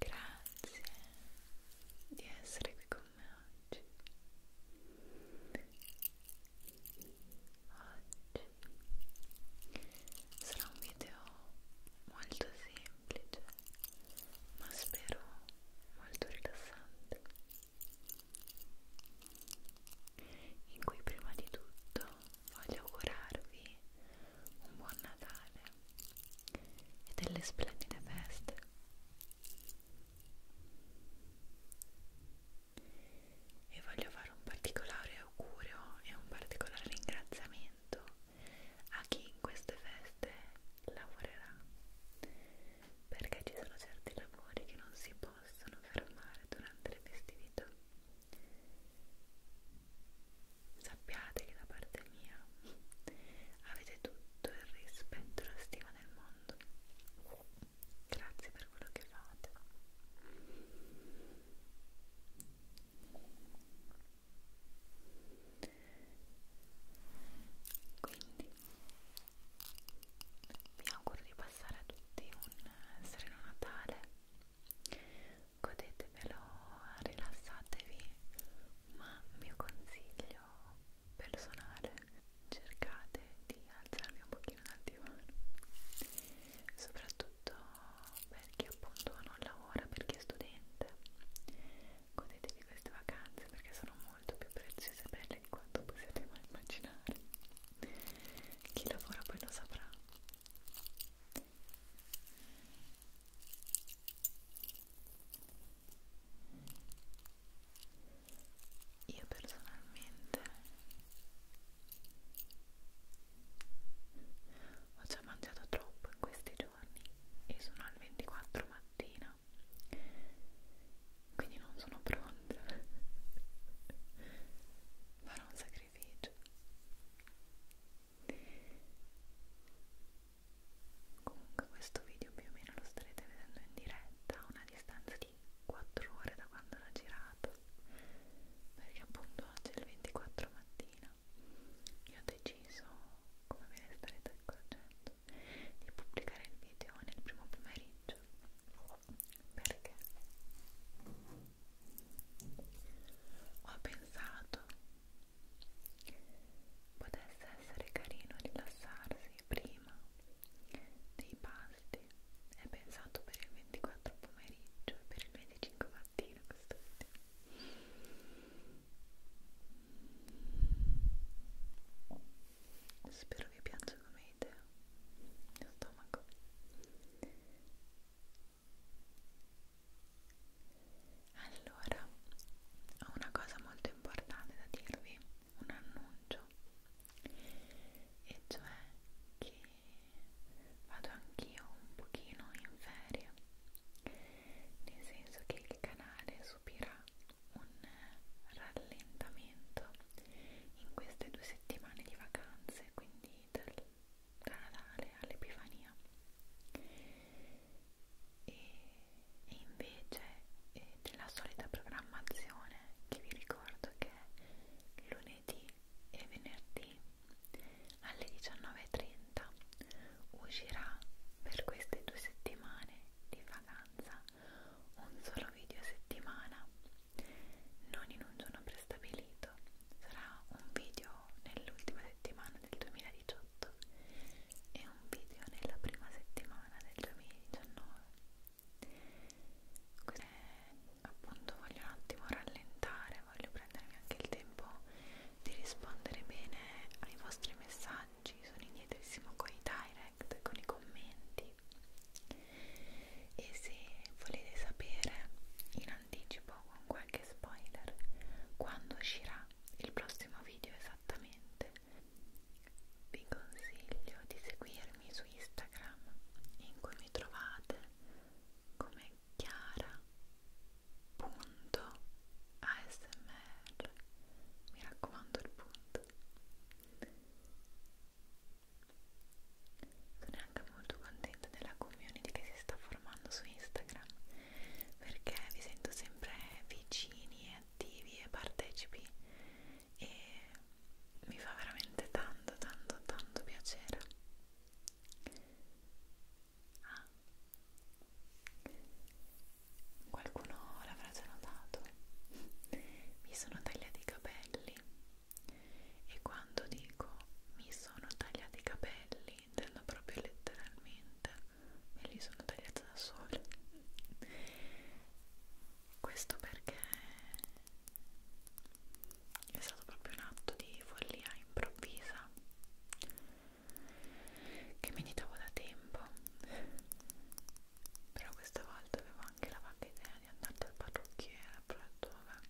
Grazie di essere qui con me oggi. Oggi sarà un video molto semplice, ma spero molto rilassante. In cui prima di tutto voglio augurarvi un buon Natale e delle splendide feste. E voglio fare un particolare augurio e un particolare ringraziamento a chi in queste feste lavorerà, perché ci sono certi lavori che non si possono fermare durante le festività Sappiate che da parte mia avete tutto il rispetto e la stima del mondo. Grazie per quello che fate. Quindi vi auguro di passare a tutti un eh, sereno Natale, godetevelo, rilassatevi, ma mio consiglio personale, cercate di alzarvi un pochino dal divano, soprattutto per chi appunto non lavora, per chi è studente, godetevi queste vacanze perché sono molto più preziose e belle di quanto possiate mai immaginare. Chi lavora poi lo saprà. Io personalmente ho già mangiato troppo in questi giorni e sono al 24 mattina quindi non sono pronta farò un sacrificio comunque questo video più o meno lo starete vedendo in diretta a una distanza di 4 ore da quando l'ho girato perché appunto oggi è il 24 mattina io ho deciso come ve ne starete accorgendo di pubblicare il video nel primo pomeriggio perché ho pensato potesse essere carino rilassarsi prima dei pasti è pensato per il 24 pomeriggio e per il 25 mattina quest'ultimo spero vi piaccia come idea lo stomaco allora, ho una cosa molto importante da dirvi, un annuncio, e cioè che vado anch'io un pochino in ferie, nel senso che il canale subirà un rallentamento in queste due settimane di vacanze, quindi Little da Natale all'Epifania e, e invece eh, c'è la solita programmazione che vi ricordo che è lunedì e venerdì alle 19.30 uscirà per queste due settimane di vacanza un solo video a settimana non in un giorno prestabilito, sarà un video nell'ultima settimana del 2018 e un video nella prima settimana del 2019. Quindi, appunto voglio un attimo rallentare, voglio prendermi anche il tempo di rispondere bene ai vostri messaggi, sono indietrissimo con i direct, con i commenti e se volete sapere in anticipo con qualche spoiler quando uscirà il prossimo video esattamente vi consiglio di seguirmi su Instagram in cui mi trovate come chiara.asmr mi raccomando il punto sono anche molto contenta della community che si sta formando su Instagram perché vi sento sempre vicini e attivi e partecipi e mi fa veramente tanto tanto tanto piacere. Ah. Qualcuno l'avrà già notato. Mi sono tagliati i capelli e quando dico mi sono tagliati i capelli intendo proprio letteralmente me li sono tagliati da sola questo perché è stato proprio un atto di follia improvvisa che meditavo da tempo però questa volta avevo anche la vaga idea di andare dal parrucchiere però ho detto vabbè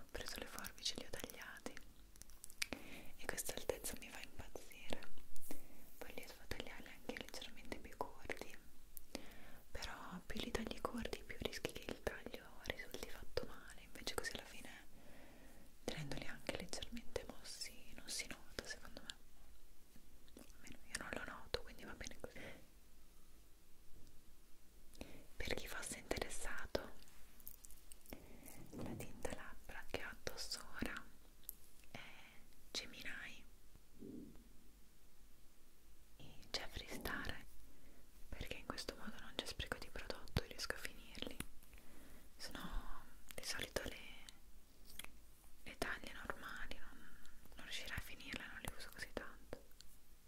ho preso le forbici li ho tagliati e questa altezza mi fa impazzire poi li devo tagliare anche leggermente più corti però più li tagli corti più rischi che il taglio risulti fatto male invece così alla fine tenendoli anche leggermente mossi non si nota secondo me almeno io non lo noto quindi va bene così per chi fosse interessato la tinta labbra che ho addosso ora è Gemini e Jeffree Star perché in questo modo non c'è spreco di prodotto e riesco a finirli sono di solito le, le taglie normali non, non riuscirai a finirle non le uso così tanto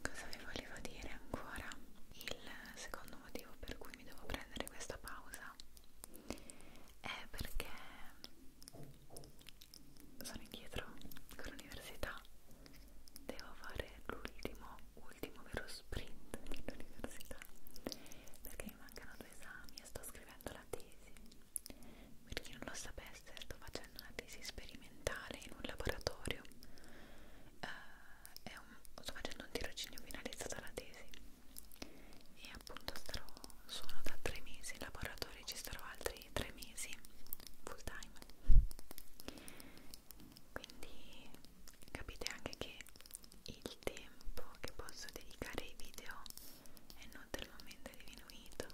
Cosa vi volevo dire ancora? Il secondo motivo per cui mi devo prendere questa pausa è perché sono indietro con l'università. Devo fare l'ultimo, ultimo vero sprint dell'università perché mi mancano due esami e sto scrivendo la tesi per chi non lo sapesse, sto facendo una tesi sperimentale in un laboratorio. Uh, un, sto facendo un tirocinio finalizzato alla tesi. E appunto starò, sono da tre mesi in laboratorio e ci starò altri tre mesi full time. Quindi capite anche che il tempo che posso dedicare ai video è notevolmente diminuito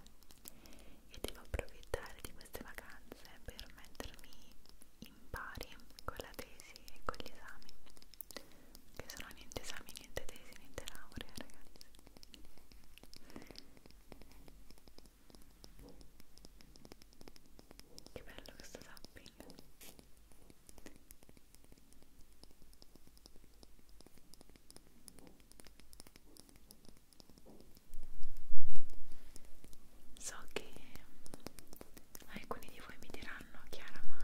e devo approfittare di queste vacanze per mettermi in pari con la tesi e con gli esami che sono niente esami, niente tesi, niente laurea ragazzi che bello questo zapping So che alcuni di voi mi diranno, Chiara, ma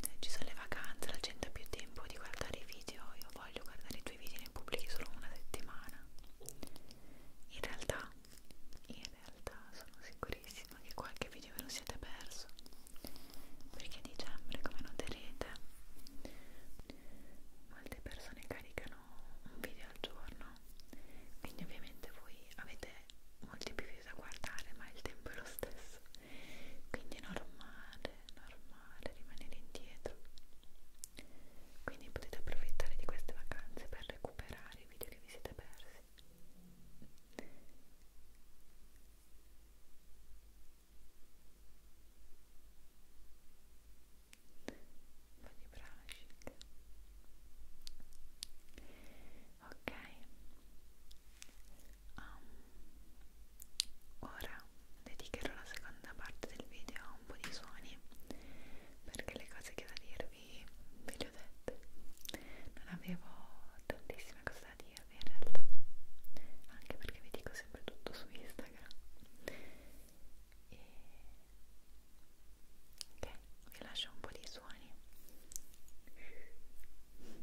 eh, ci sono le vacanze, la gente ha più tempo di guardare i video, io voglio guardare i tuoi video, ne pubblichi solo una settimana. In realtà, in realtà sono sicurissima che qualche video ve lo siete perso perché a dicembre come noterete molte persone caricano un video al giorno quindi ovviamente voi avete molti più video da guardare ma il tempo è lo stesso quindi è normale normale rimanere indietro quindi potete approfittare di queste vacanze per recuperare i video che vi siete persi po' di brushing ok um, ora dedicherò la seconda parte del video a un po' di suoni perché le cose che ho da dirvi ve le ho dette non avevo tantissime cose da dirvi in realtà anche perché vi dico sempre tutto su Instagram e ok, vi lascio un po' di suoni ok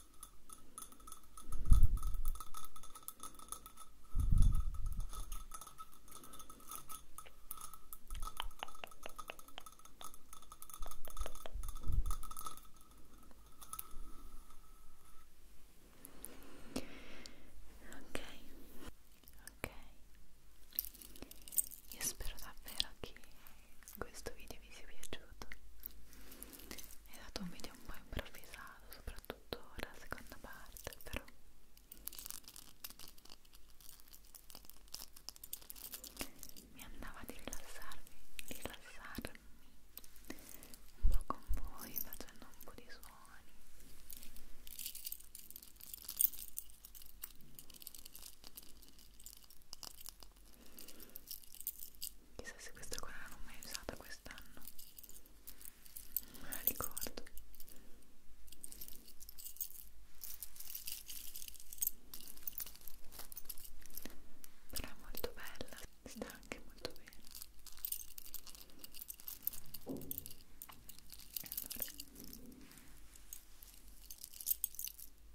Ok, ok. Io spero davvero che questo video vi sia piaciuto è stato un video un po' improvvisato soprattutto la seconda parte però mi andava di rilassarmi rilassarmi un po' con voi facendo un po' di suoni Chissà se questa qua non l'ho mai usata quest'anno. Non la ricordo. Però è molto bella, sta anche molto bene. Allora.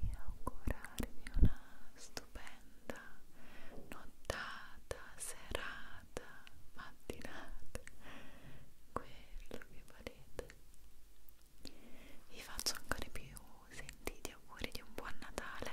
e augurarvi una stupenda nottata, serata, mattinata, quello che volete. Vi faccio ancora più sentiti auguri di un buon Natale.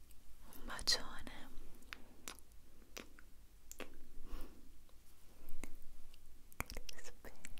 un bacione che ti spera